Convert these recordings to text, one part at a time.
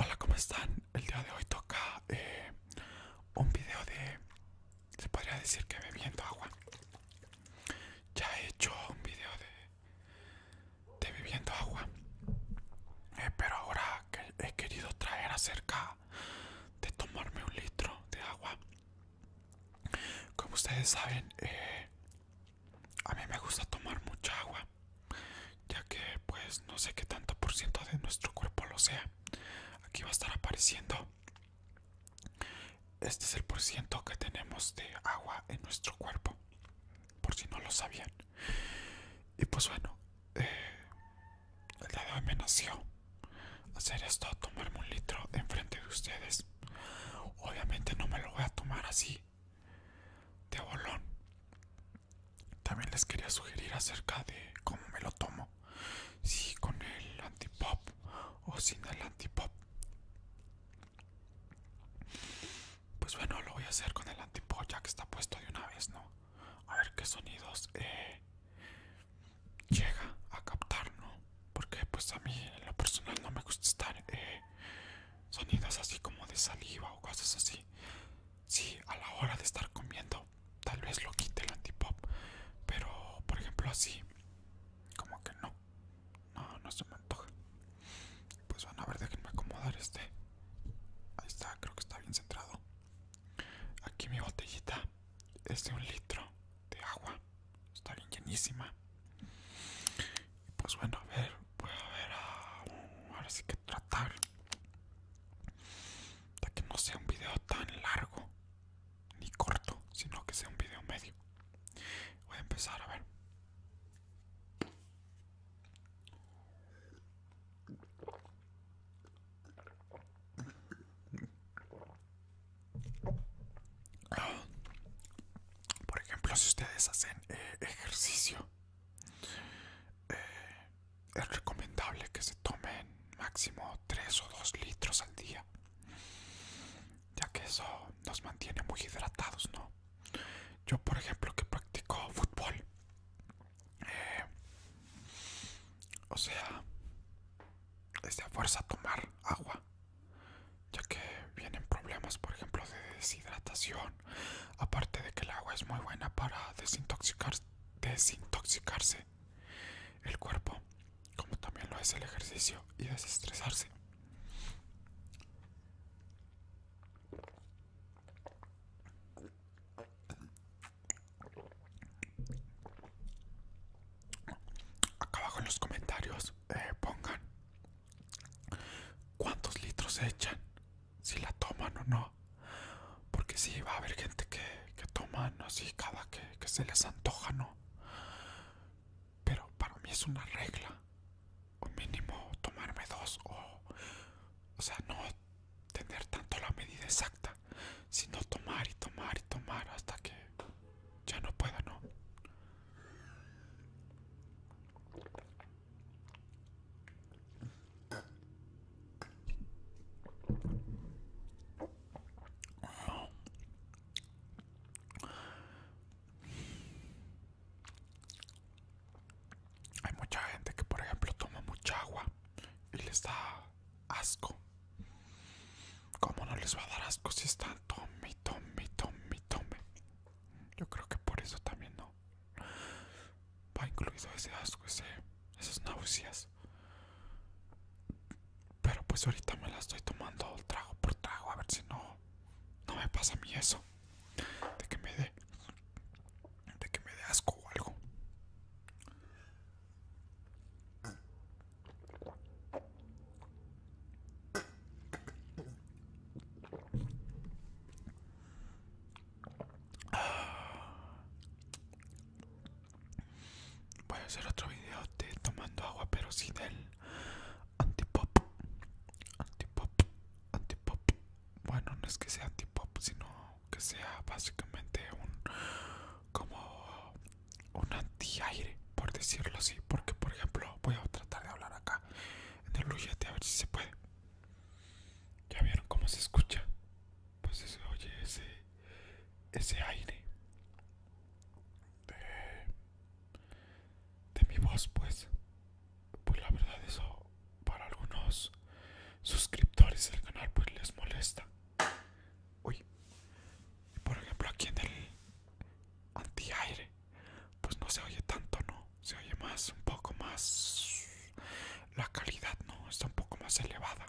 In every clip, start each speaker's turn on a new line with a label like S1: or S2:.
S1: Hola, ¿cómo están? El día de hoy toca eh, un video de... Se podría decir que bebiendo agua. Ya he hecho un video de... De bebiendo agua. Eh, pero ahora he querido traer acerca de tomarme un litro de agua como ustedes saben, eh, a mí me gusta tomar mucha agua, ya que pues no sé qué tanto por ciento de nuestro cuerpo lo sea. Aquí va a estar apareciendo. Este es el por ciento que tenemos de agua en nuestro cuerpo, por si no lo sabían. Y pues bueno, eh, el día de hoy me nació hacer esto, tomarme un litro de enfrente de ustedes. Obviamente no me lo voy a tomar así de bolón. También les quería sugerir acerca de cómo me lo tomo. Si con el antipop o sin el antipop. Pues bueno, lo voy a hacer con el antipop ya que está puesto de una vez, ¿no? A ver qué sonidos eh, llega a captar, ¿no? Porque pues a mí en lo personal no me gusta estar eh, sonidos así como de saliva o cosas así. Sí, a la hora de estar comiendo, tal vez lo quite el antipop, pero por ejemplo así, como que no, no, no se me antoja. Pues van a ver, déjenme acomodar este. Ahí está, creo que está bien centrado. Aquí mi botellita este es un litro de agua. Está bien llenísima. pues bueno, a ver, voy a ver ahora sí que tratar de que no sea un video tan largo ni corto, sino que sea un video medio. Voy a empezar a ver. Por ejemplo, si ustedes hacen eh, ejercicio, eh, es recomendable que se tomen máximo 3 o 2 litros al día, ya que eso nos mantiene muy hidratados, ¿no? Yo, por ejemplo, que practico fútbol, eh, o sea, es de a fuerza tomar agua, ya que vienen problemas, por ejemplo, de deshidratación. Aparte de que el agua es muy buena para desintoxicar, desintoxicarse el cuerpo, como también lo es el ejercicio y desestresarse. Acá abajo en los comentarios eh, pongan cuántos litros echan, si la toman o no. Porque sí, va a haber gente que, toma no, así cada que, que se les antoja, ¿no? Pero para mí es una regla. O mínimo tomarme dos O sea, no tener tanto la medida exacta sino tomar y tomar y tomar hasta que ya no pueda, ¿no? Hay mucha gente que por ejemplo toma mucha agua y les da asco ¿Cómo no les va a dar asco si están tome, tome, tome, tome? Yo creo que por eso también no. Va incluido ese asco, ese, esas náuseas. Pero pues ahorita me las estoy tomando trago por trago, a ver si no, no me pasa a mí eso. De que me dé, de que me dé asco o algo. Voy a hacer otro video de tomando agua, pero sin el antipop. Antipop, antipop. Bueno, no es que sea antipop, sino que sea básicamente un como un aire por decirlo así porque por ejemplo voy a tratar de hablar acá en el a ver si se puede ya vieron cómo se escucha pues se oye ese ese aire de, de mi voz pues pues la verdad eso para algunos suscriptores del canal pues les molesta Uy, por ejemplo aquí en el aire pues no se oye tanto, ¿no? Se oye más, un poco más... La calidad, ¿no? Está un poco más elevada.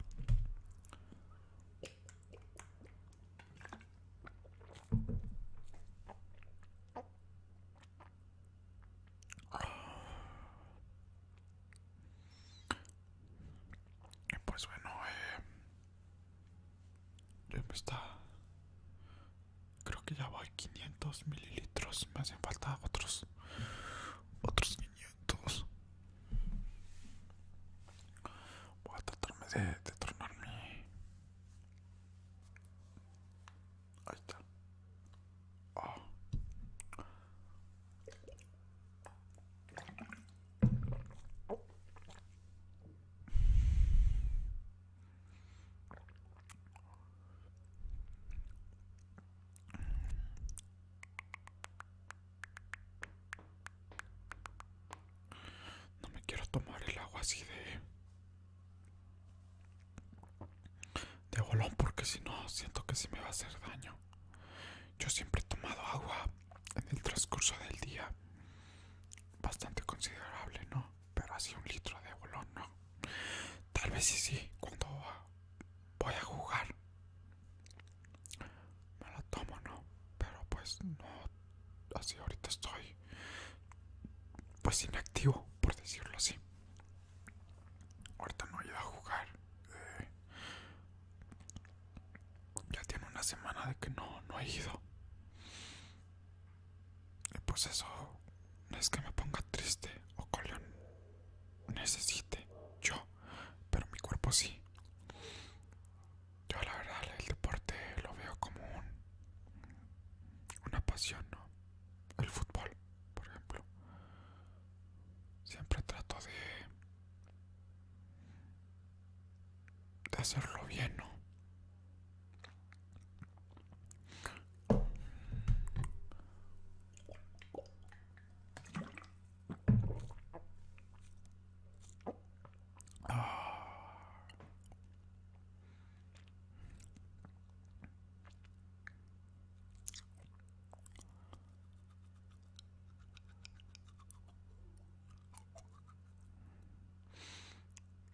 S1: Y pues bueno, eh, ya me está. Creo que ya voy 500 mililitros. Me hacen falta otros. Otros 500. Voy a tratarme de, de Ahí está. Ah. No me quiero tomar el agua así de de bolón porque si no siento que sí me va a hacer daño. Yo siempre he tomado agua en el transcurso del día. Bastante considerable, ¿no? Pero así un litro de bolón, ¿no? Tal vez sí, sí, cuando voy a jugar. Me la tomo, ¿no? Pero pues no. Así ahorita estoy. Pues inactivo, por decirlo así. Ahorita no voy a jugar. Eh, ya tiene una semana de que no, no he ido. Y pues eso no es que me ponga triste o que necesite yo, pero mi cuerpo sí. Yo la verdad el deporte lo veo como un, una pasión, ¿no? El fútbol, por ejemplo. Siempre trato de de hacerlo bien, ¿no?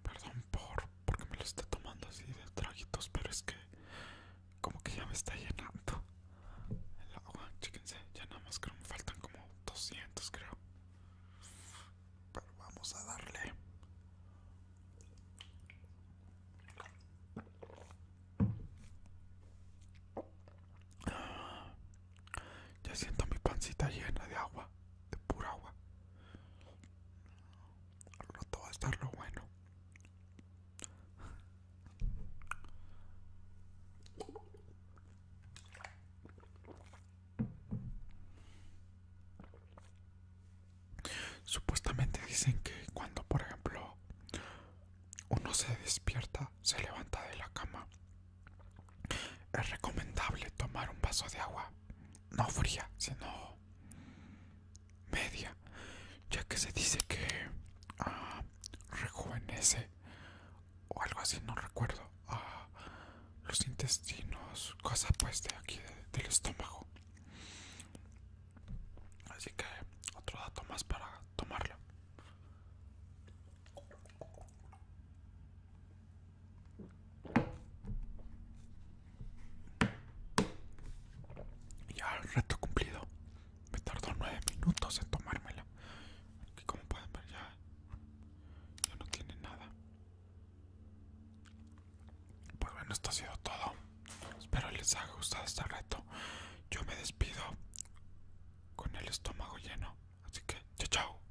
S1: Perdón por porque me lo está tomando así de traguitos, pero es que como que ya me está llenando el agua, chéquense, ya nada más creo me faltan como 200 creo. Pero vamos a darle. Ya siento mi pancita llena de agua, de pura agua. Al rato va a estar lo bueno. Supuestamente dicen que cuando, por ejemplo, uno se despierta, se levanta de la cama. Es recomendable tomar un vaso de agua, no fría, sino media, ya que se dice que ah, rejuvenece o algo así, no recuerdo, ah, los intestinos, cosa pues de aquí del estómago. Así que otro dato más para tomarlo. Ya el reto cumplido. Me tardó nueve minutos en tomármelo Aquí como pueden ver ya, ya no tiene nada. Pues bueno, esto ha sido todo. Espero les haya gustado este reto yo me despido con el estómago lleno. Así que, chao, chao.